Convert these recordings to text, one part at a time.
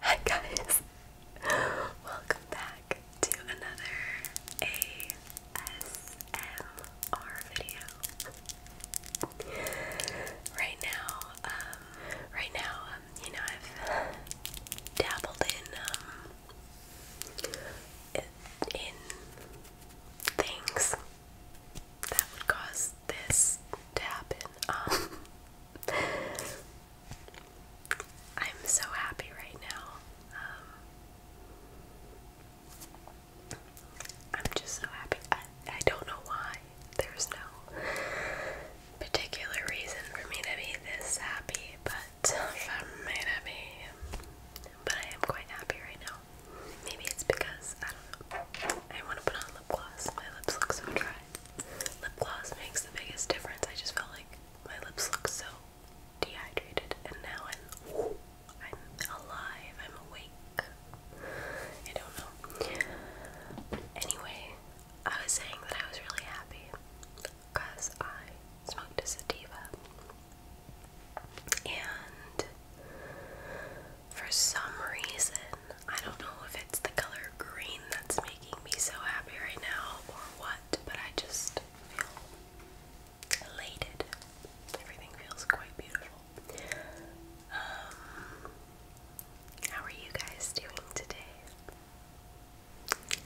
Hi guys! Welcome back to another ASMR video. Right now, um, right now, um, you know, I've dabbled in, um, in things that would cause this to I'm so happy right now. Um, I'm just so happy. I, I don't know why. There's no particular reason for me to be this happy, but for me to be. But I am quite happy right now. Maybe it's because I don't know. I want to put on lip gloss. My lips look so dry. Lip gloss makes the biggest difference. I just felt like my lips look so dehydrated, and now I'm I'm alive. I'm awake. I don't know. Anyway, I was saying that I was really happy because I smoked a sativa, and for some reason, I don't know if it's the color green that's making me so happy right now or what, but I just feel elated. Everything feels quite beautiful. Um, how are you guys doing today?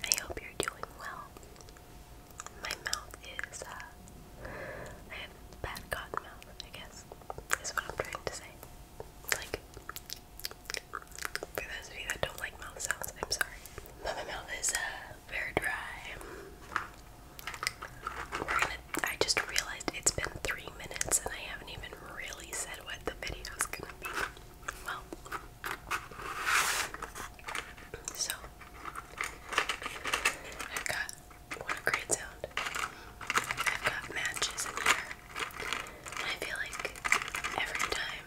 I hope you're doing well. My mouth is, uh, I have bad cotton mouth, I guess, is what I'm trying to say. Like, for those of you that don't like mouth sounds, I'm sorry. my mouth is uh, very dry. I just realized it's been three minutes and I haven't even really said what the video's gonna be. Well, so I've got what a great sound. I've got matches in here. I feel like every time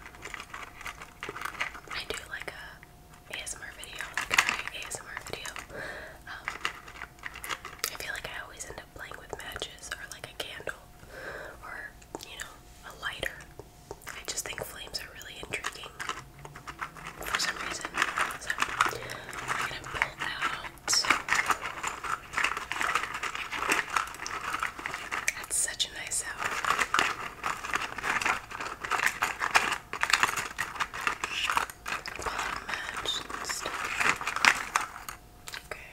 I do like a ASMR video, like a ASMR video, um, I feel like I always end up playing with matches or like a candle or, you know, a lighter. I just think flames are really intriguing for some reason. So, I'm gonna pull out that's such a nice hour. Palm match Okay.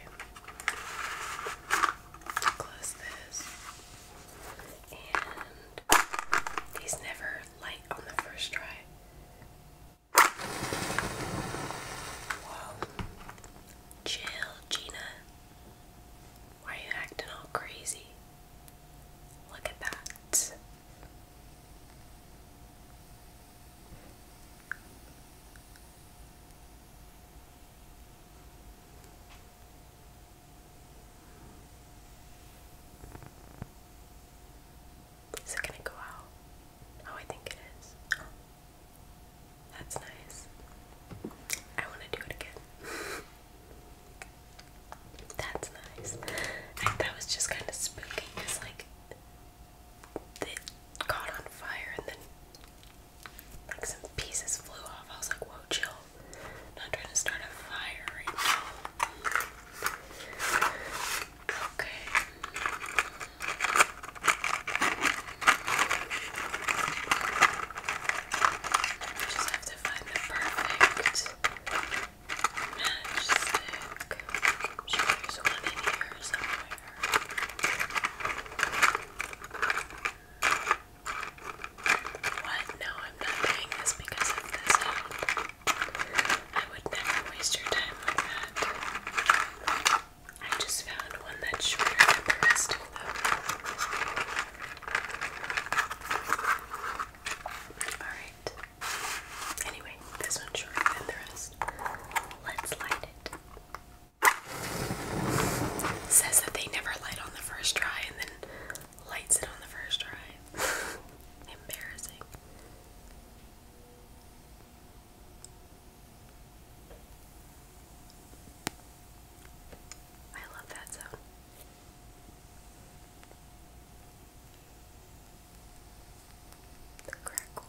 Close this. And these never light on the first try. Chill, Gina. Why are you acting all crazy? Look at that. Is it gonna go out? Oh, I think it is. That's nice. I want to do it again. That's nice. I, that was just kind of spooky because, like, it caught on fire and then, like, some pieces flew off. I was like, whoa, chill. not trying to start a fire right now. Okay. I just have to find the perfect matchstick. i What? No, I'm not doing this because of this I would never waste your time with that. I just found one that's shorter than the rest of them. Alright. Anyway, this one's shorter than the rest. Let's light it. Says that they never light on the first try and then lights it on the first try. Embarrassing. I love that sound. The crackle.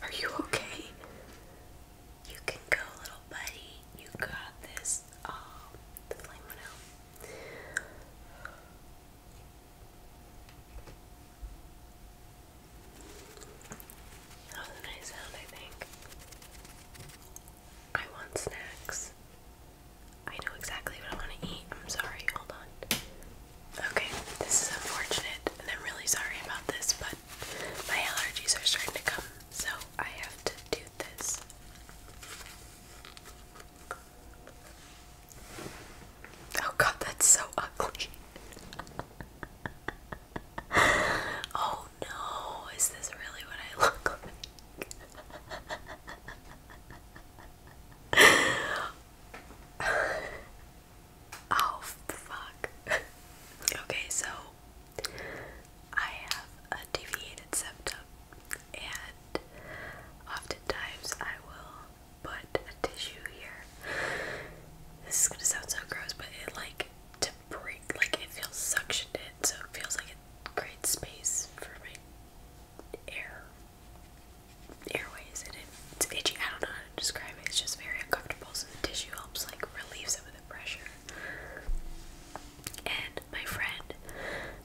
Are you okay? You can go, little buddy. You got this. Oh, the flame went out. That was a nice sound, I think. I want snacks. I know exactly what I want to eat. I'm sorry, hold on. Okay, this is unfortunate, and I'm really sorry about this, but my allergies are starting to come, so I have to do this. Oh god, that's so ugly. oh no, is this really what I look like? oh fuck. Okay, so I have a deviated septum, and oftentimes I will put a tissue here. This is gonna sound so gross, but it like to breathe. Like it feels suctioned in, so it feels like it creates space for my air airways, and it's itchy. I don't know how to describe it. It's just very uncomfortable. So the tissue helps like relieve some of the pressure. And my friend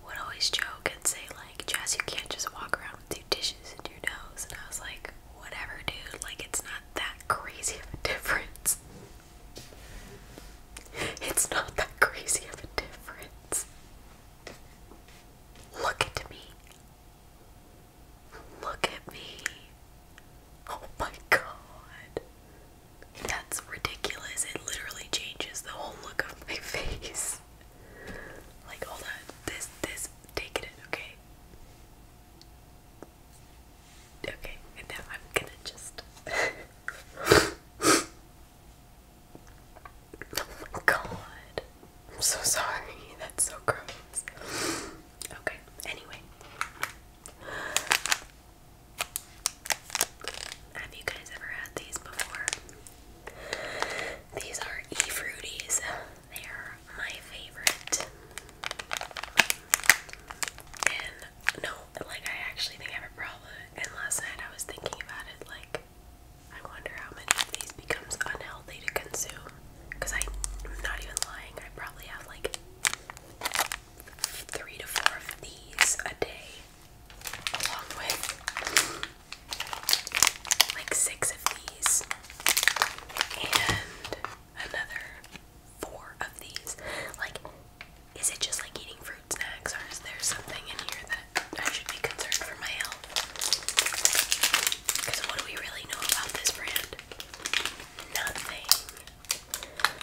would always joke and say like, "Jess, you can't just walk around with two dishes in your nose." And I was like, whatever, dude. Like, it's not that crazy of a difference. It's not that crazy of a difference. Look at me. Look at me. Oh my god. That's ridiculous. It literally changes the whole look of my face. Like hold on. This this take it in, okay? Okay, now I'm gonna just. oh my god. I'm so sorry. That's so gross. Okay, anyway. Have you guys ever had these before? These are e fruities. They're my favorite. And no, like I actually think I have a problem. And last night I was thinking about it like I wonder how many of these becomes unhealthy to consume. Cause I'm not even lying, I probably have like three to four of these a day. Along with like six of these. And another four of these. Like, is it just like eating fruit snacks, or is there something in here that I should be concerned for my health? Because what do we really know about this brand? Nothing.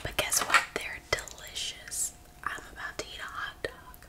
But guess what? They're delicious. I'm about to eat a hot dog.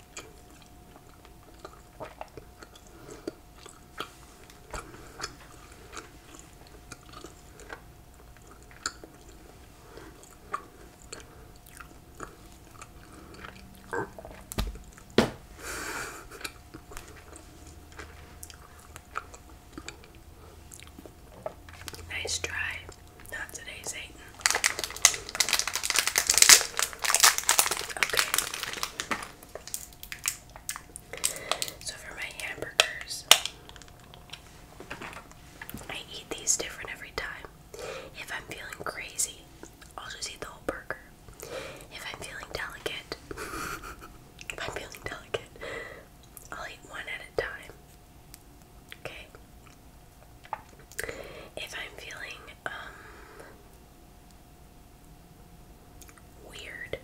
Nice try. Not today, Satan. Okay. So for my hamburgers, I eat these different every time. If I'm feeling crazy, I'll just eat the whole burger. If I'm feeling delicate, if I'm feeling delicate, I'll eat one at a time. Okay. If I'm feeling um Weird.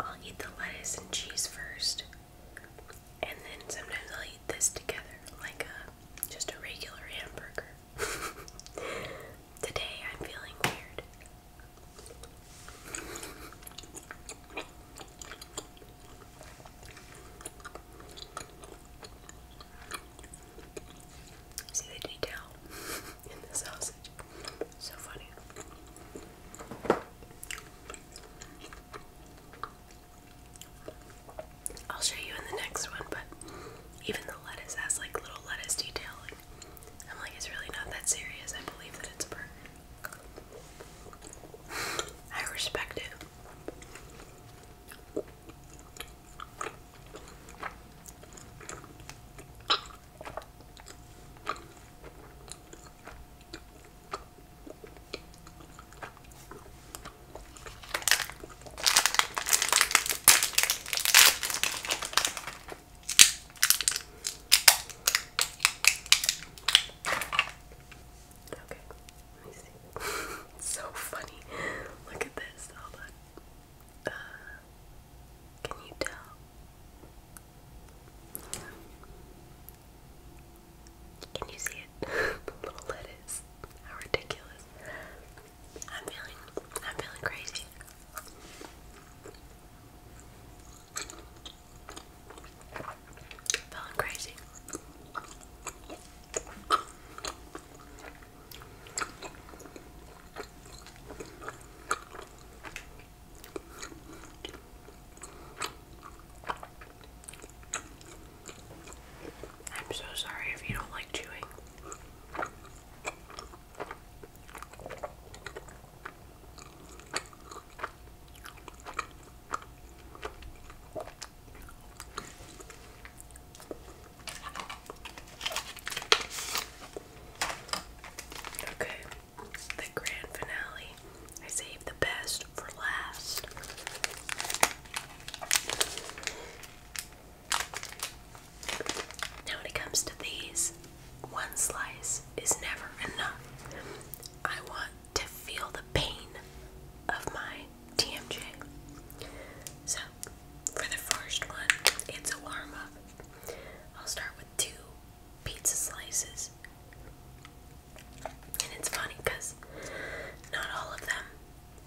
I'll eat the lettuce and cheese first, and then sometimes I'll eat this together, like a uh, just a regular hamburger. Today I'm feeling weird. See the detail in the sausage. So funny. I'll show you in the next one, but even the lettuce has like little lettuce detail. I'm like, it's really not that serious. I believe that it's a burger. I respect it. Okay, so funny. Look at this. Uh, can you tell? Can you see it? the little lettuce. How ridiculous. I'm feeling I'm feeling crazy. Feeling crazy. I'm so sorry if you don't like chewing. Okay, the grand finale. I saved the best for last. Now, when it comes to these, one slice is never enough. I want to feel the pain of my TMJ. So, for the first one, it's a warm up. I'll start with two pizza slices. And it's funny because not all of them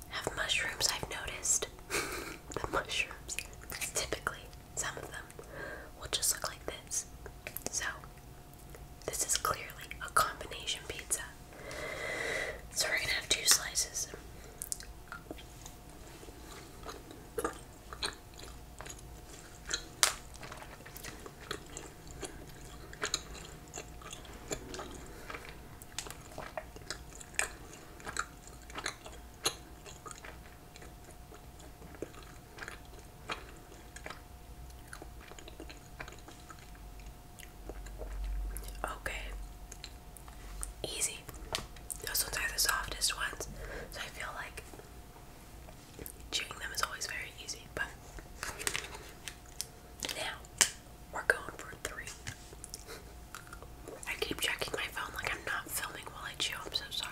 have mushrooms, I've noticed. the mushrooms, typically, some of them will just look like this. So, this is clearly a combination pizza. So we're gonna have two slices. Okay. Easy. Those ones are the softest ones. So I feel like chewing them is always very easy. But now we're going for three. I keep checking my phone like I'm not filming while I chew. I'm so sorry.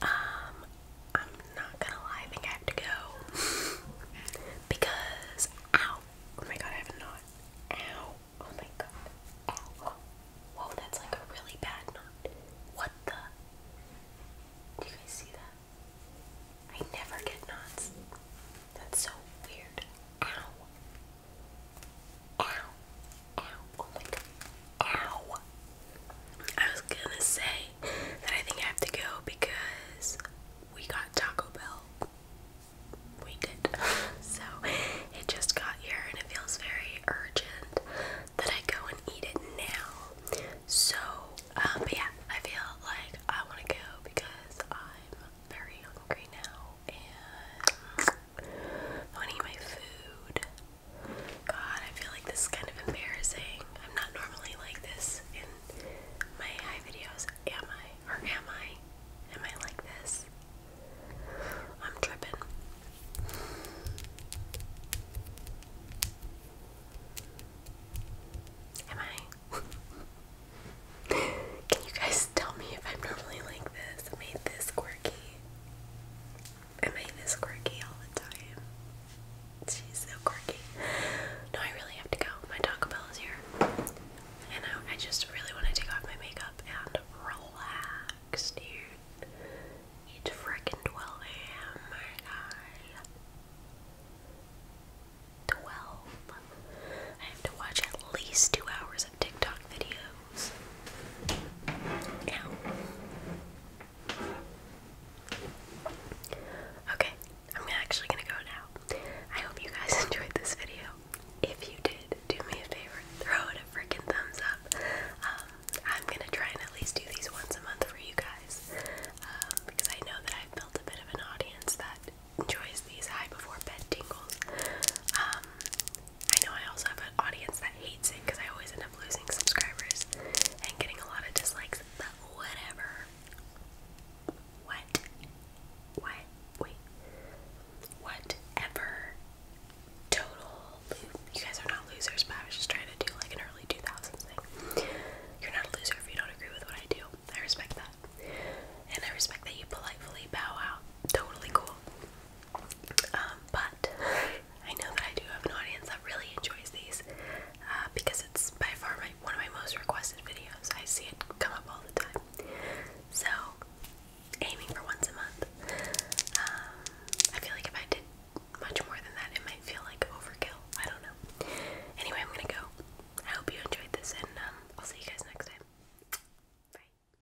Um, I'm not gonna lie, I think I have to go. because, Oh my god, I have a knot. Ow. Oh my god. Ow. Whoa, that's like a really bad knot. What the? Do you guys see that? I never get knots. That's so weird. Ow. Ow. Ow. I was gonna say that I think I have to go because we got Taco Bell. We did. so it just got here and it feels very urgent that I go and eat it now. So, um, but yeah, I feel like I want to go because I'm very hungry now and want to eat my food. God, I feel like this is kind of embarrassing. I'm not normally like this in my high videos. Am I? Or am I? Am I like this? I'm tripping. Am I? Can you guys tell me if I'm normally like this? made this quirky. I'm Elaine this quirky all the time. She's so quirky. No, I really have to go. My Taco Bell is here. And I, just really want to take off my makeup and relax, dude. It's freaking 12 a.m. My 12. I have to watch at least two hours of TikTok videos. Okay, I'm actually gonna go now. I hope you guys enjoyed this video. If you did, do me a favor, throw it a freaking thumbs up. Um, I'm gonna try and at least do these once a month for you guys um, because I know that I've built a bit of an audience that enjoys these high before bed tingles. Um, I know I also have an audience that hates it because I always end up losing subscribers and getting a lot of dislikes, but whatever. What? What? Wait. Whatever. Total. You guys are not losers, I was just trying to do like an early 2000s thing. You're not a loser if you don't agree with what I do. I respect that. And I respect that you politely bow out. Totally cool. Um, but I know that I do have an audience that really enjoys these uh, because it's by far my, one of my most requested videos. I see it come up all the time. So, aiming for once a month. Um, I feel like if I did much more than that, it might feel like overkill. I don't know. Anyway, I'm gonna go. I hope you enjoyed this, and um, I'll see you guys next time. Bye.